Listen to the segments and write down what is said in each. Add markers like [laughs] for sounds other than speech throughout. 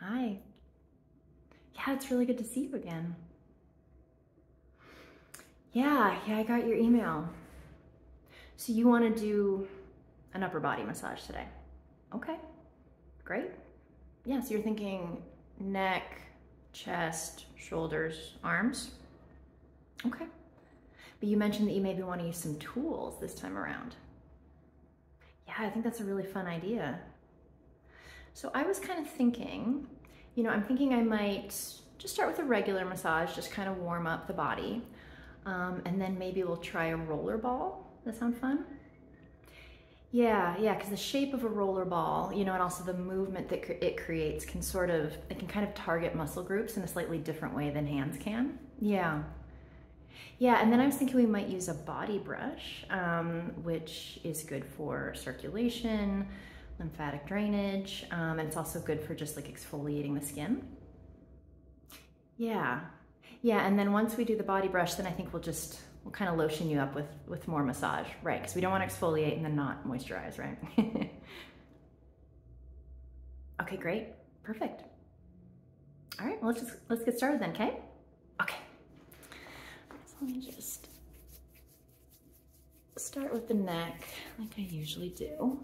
Hi. Yeah, it's really good to see you again. Yeah, yeah, I got your email. So you want to do an upper body massage today? Okay, great. Yeah, so you're thinking neck, chest, shoulders, arms? Okay. But you mentioned that you maybe want to use some tools this time around. Yeah, I think that's a really fun idea. So I was kind of thinking, you know, I'm thinking I might just start with a regular massage, just kind of warm up the body. Um, and then maybe we'll try a roller ball. That sound fun? Yeah, yeah, because the shape of a roller ball, you know, and also the movement that it creates can sort of, it can kind of target muscle groups in a slightly different way than hands can. Yeah. Yeah, and then I was thinking we might use a body brush, um, which is good for circulation, lymphatic drainage, um, and it's also good for just like exfoliating the skin. Yeah, yeah, and then once we do the body brush, then I think we'll just we'll kind of lotion you up with with more massage, right? Because we don't want to exfoliate and then not moisturize, right? [laughs] okay, great, perfect. All right, well, let's just, let's get started then, okay? Okay. let me just start with the neck like I usually do.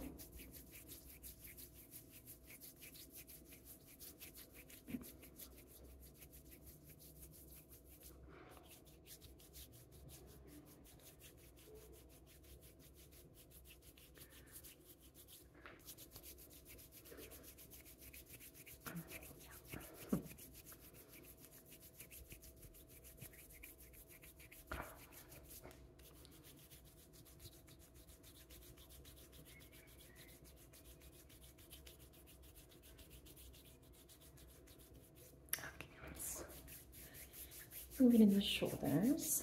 Moving in the shoulders.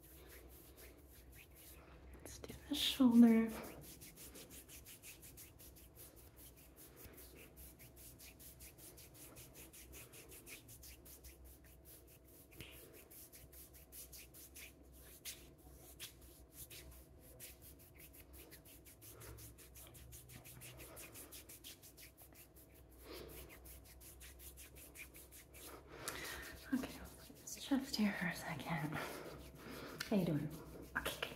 Let's do the shoulder. Okay, let's just here for a second. How you doing? Okay, good.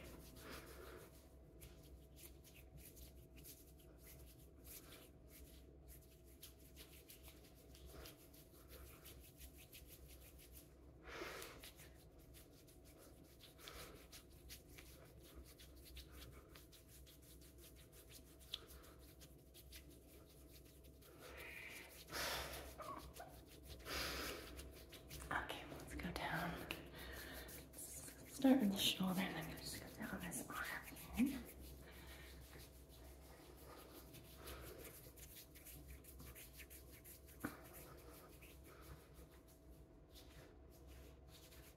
Okay, let's go down. start with the shoulder and then just go down this arm here.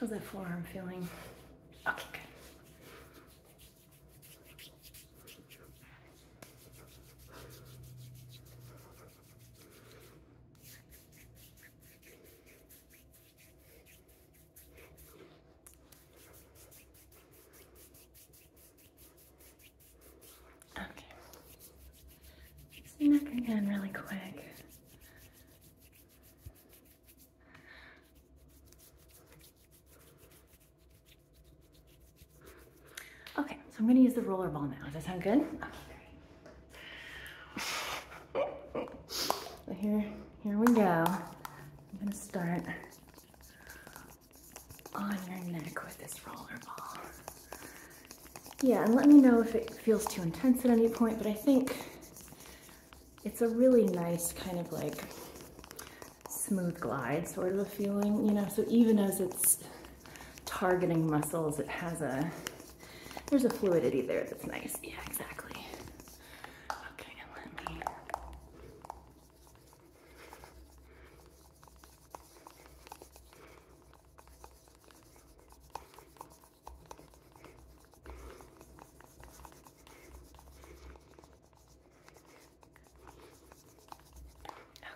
How's that forearm feeling? Okay, good. Okay. Just neck again really quick. Okay, so I'm gonna use the roller ball now. Does that sound good? Okay, here, here we go. I'm gonna start on your neck with this roller ball. Yeah, and let me know if it feels too intense at any point, but I think it's a really nice kind of like smooth glide sort of a feeling, you know, so even as it's targeting muscles. It has a, there's a fluidity there that's nice. Yeah, exactly. Okay, let me.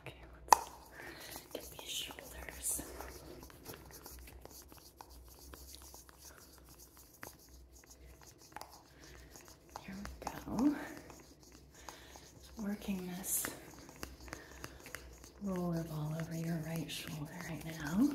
Okay, let's get shoulders. Here we go. working this roller ball over your right shoulder right now.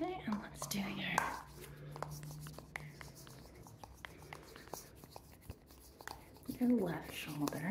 Okay, and let's do your left shoulder.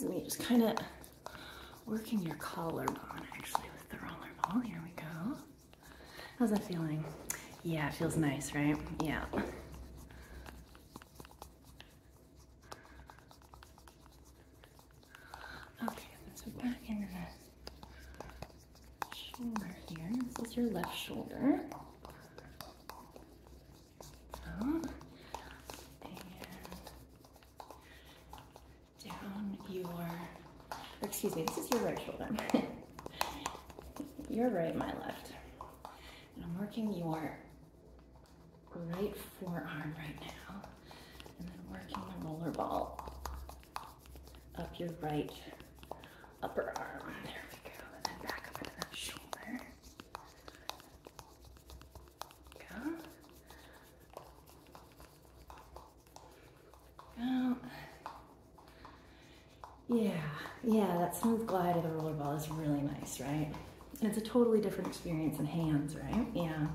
Let me just kind of working your collarbone actually with the roller ball. Here we go. How's that feeling? Yeah, it feels nice, right? Yeah. Okay, so back into the shoulder here. This is your left shoulder. down your, excuse me, this is your right shoulder. [laughs] your right, my left. And I'm working your right forearm right now and then working the roller ball up your right upper arm. There we go. And then back up into that shoulder. Go. Yeah, yeah, that smooth glide of the roller ball is really nice, right? it's a totally different experience in hands, right? Yeah.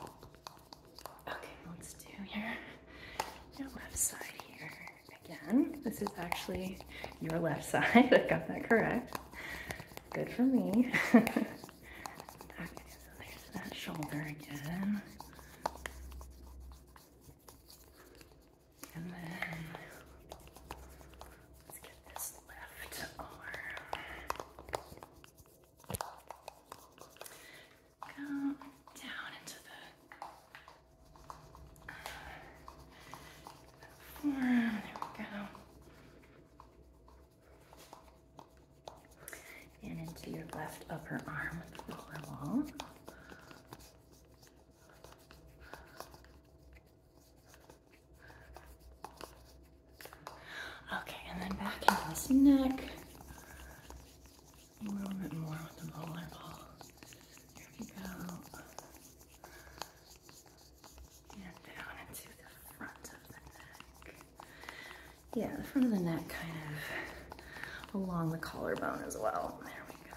Okay, let's do your, your left side here again. This is actually your left [laughs] side. I got that correct. Good for me. [laughs] okay, so there's that shoulder again. And then Let's get this left arm. down into uh, the forearm. There we go. And into your left upper arm with the Okay, and then back into his neck. A little bit more with the bowler ball. Here we go. And down into the front of the neck. Yeah, the front of the neck kind of along the collarbone as well. There we go.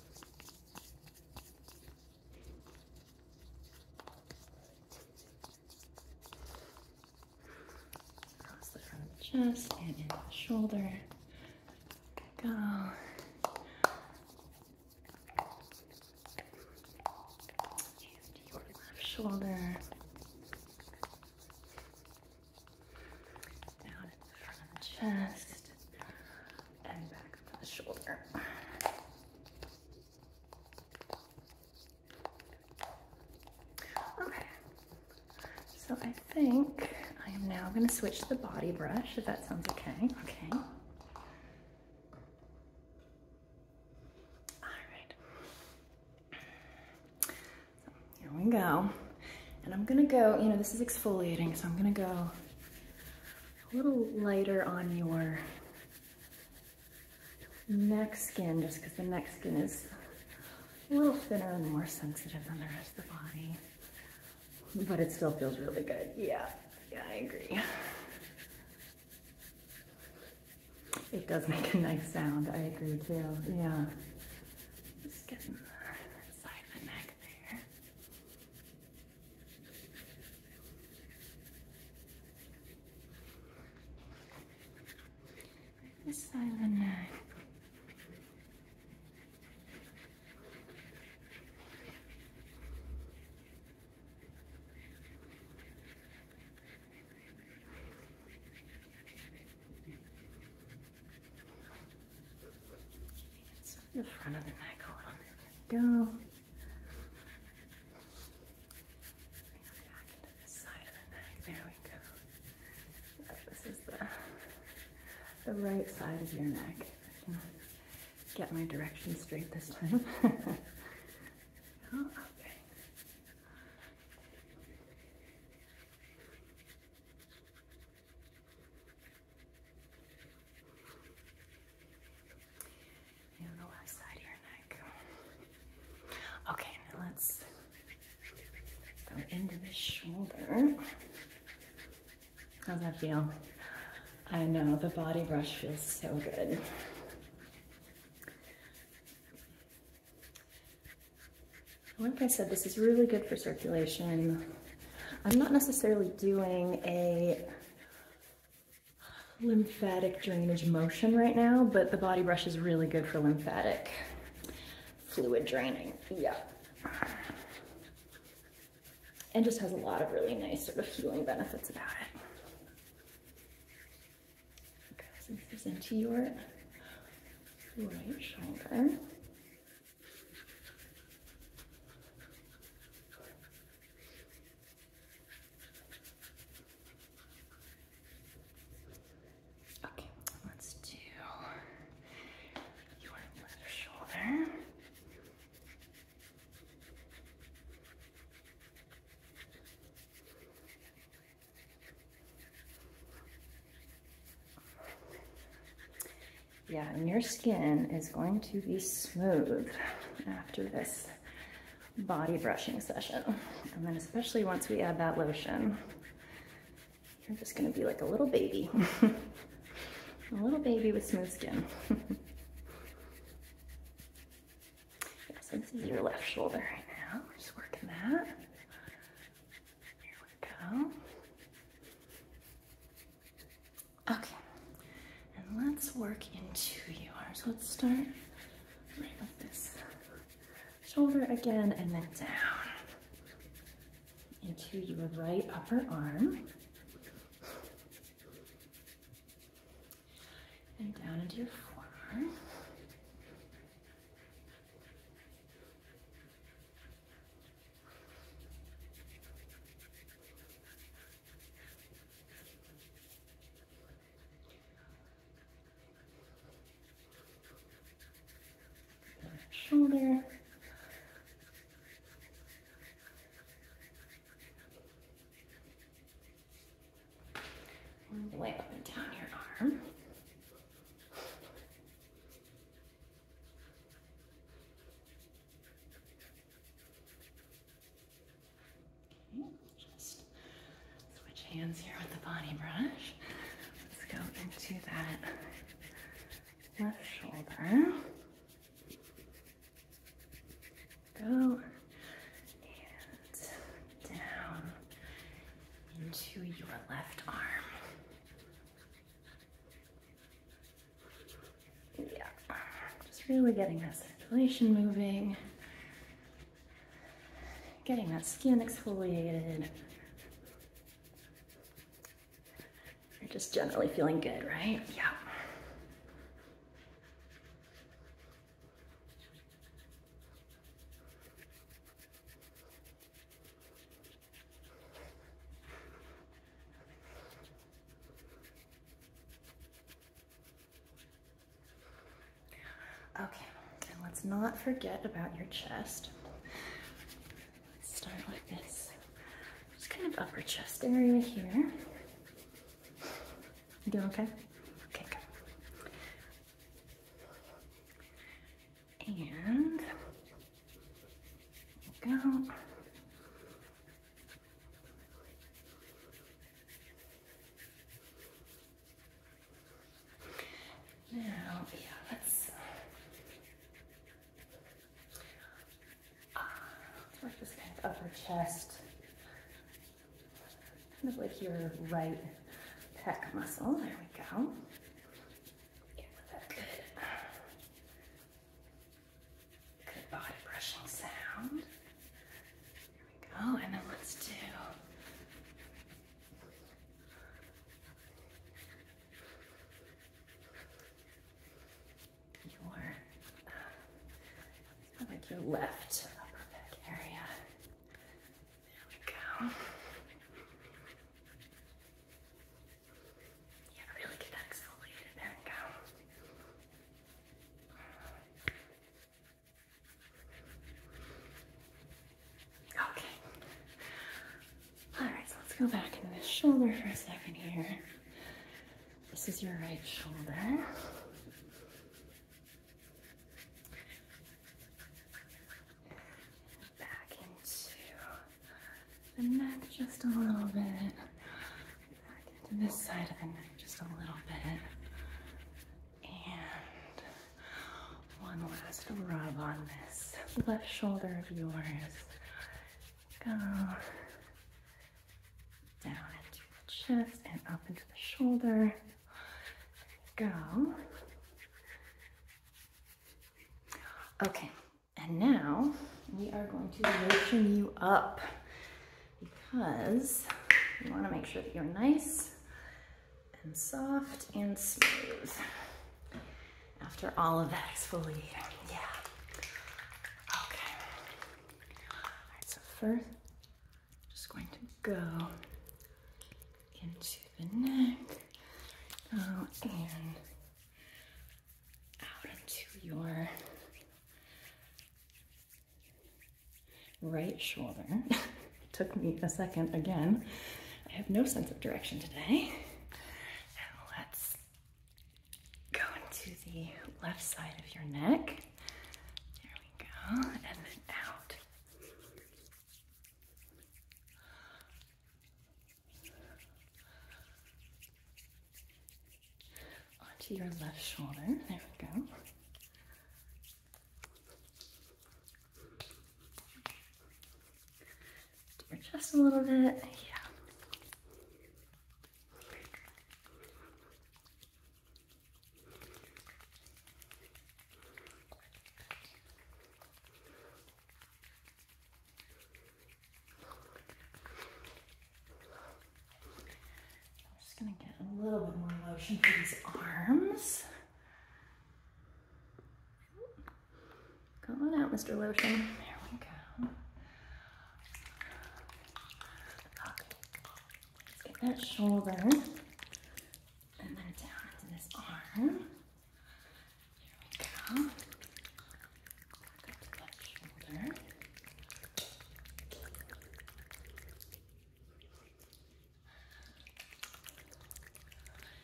Mostly from the chest and in the shoulder. Go. And your left shoulder. Down in the front chest and back up the shoulder. Okay, so I think I am now going to switch the body brush if that sounds okay. Okay. All right here we go. And I'm gonna go, you know, this is exfoliating, so I'm gonna go a little lighter on your neck skin, just because the neck skin is a little thinner and more sensitive than the rest of the body. But it still feels really good. Yeah, yeah, I agree. It does make a nice sound, I agree too, yeah. Just get in there inside the neck there. Inside the neck. The front of the neck go. There we go. This is the, right side of your neck. Get my direction straight this time. [laughs] Oh, okay. And the left side of your neck. Okay, now let's go into the shoulder. How's that feel? I know, the body brush feels so good. Like I said, this is really good for circulation. I'm not necessarily doing a lymphatic drainage motion right now, but the body brush is really good for lymphatic fluid draining. Yeah. And just has a lot of really nice sort of healing benefits about it. Okay, this is into your right shoulder. Okay, let's do your left shoulder. Yeah, and your skin is going to be smooth after this body brushing session. And then especially once we add that lotion, you're just gonna be like a little baby. [laughs] a little baby with smooth skin. yeah, so this is your left shoulder right now. Just working that. Okay, and let's work into your arms. Let's start right with this shoulder again and then down into your right upper arm. And down into your forearm shoulder. way up and down your arm switch hands here with the body brush. Let's go into that left shoulder. Go and down into your left arm. Yeah, just really getting that circulation moving, getting that skin exfoliated. You're just generally feeling good, right? Yeah. Okay, and let's not forget about your chest. let start with this just kind of upper chest area here. You doing okay? Okay, good and go. Now, yeah, let's, uh, work this kind of upper chest kind of like your right pec muscle. There we go. Get that good, good body brushing sound. There we go. And then let's do your, uh, like your left upper back area. There we go. Yeah, really get that There we go. Okay. Alright, so let's go back into the shoulder for a second here. This is your right shoulder. Back into the neck just a little bit. Back this side just a little bit. And one last rub on this left shoulder of yours. Go down into the chest and up into the shoulder go. Okay, and now we are going to lotion you up because we want to make sure that you're nice and soft and smooth after all of that exfoliating. Yeah. Okay. so first, just going to go into the neck out uh, and out into your right shoulder. [laughs] Took me a second again. I have no sense of direction today. let's go into the left side of your neck. There we go. And then out Onto your left shoulder. There we go. To your chest a little bit. Yeah. I'm just gonna get a little bit more lotion for these arms. Come on out, Mr. Lotion. There we go. get that shoulder and then down into this arm. There we go. Back up to that shoulder.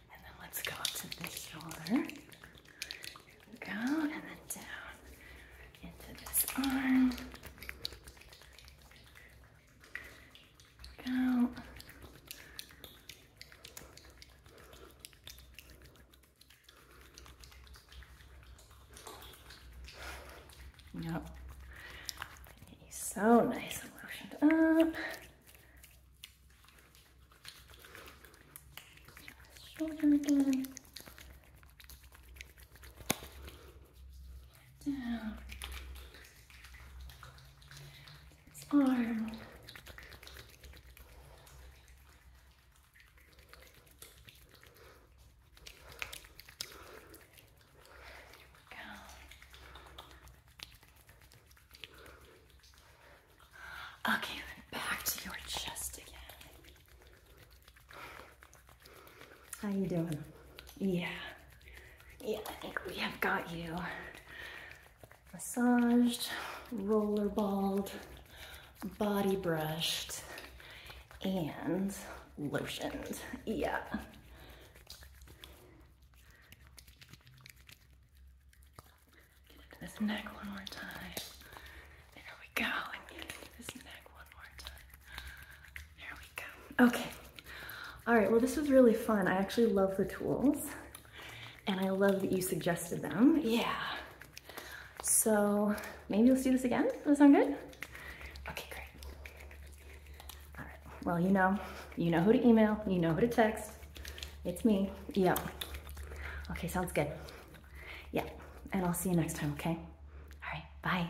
And then let's go up to this shoulder. There we go. And then down into this arm out. Yep. so nice and lotioned up. Shoulder again down arm. Go. Okay, back to your chest again. How you doing? Yeah. Yeah, I think we have got you. Massaged, roller balled, body brushed, and lotioned. Yeah. Get into this neck one more time. There we go. get into this neck one more time. There we go. Okay. All right, well, this was really fun. I actually love the tools and I love that you suggested them. Yeah. So maybe let's do this again. Does that sound good? Okay, great. All right, well, you know, you know who to email, you know who to text. It's me, yep. Okay, sounds good. Yeah, and I'll see you next time, okay? All right, bye.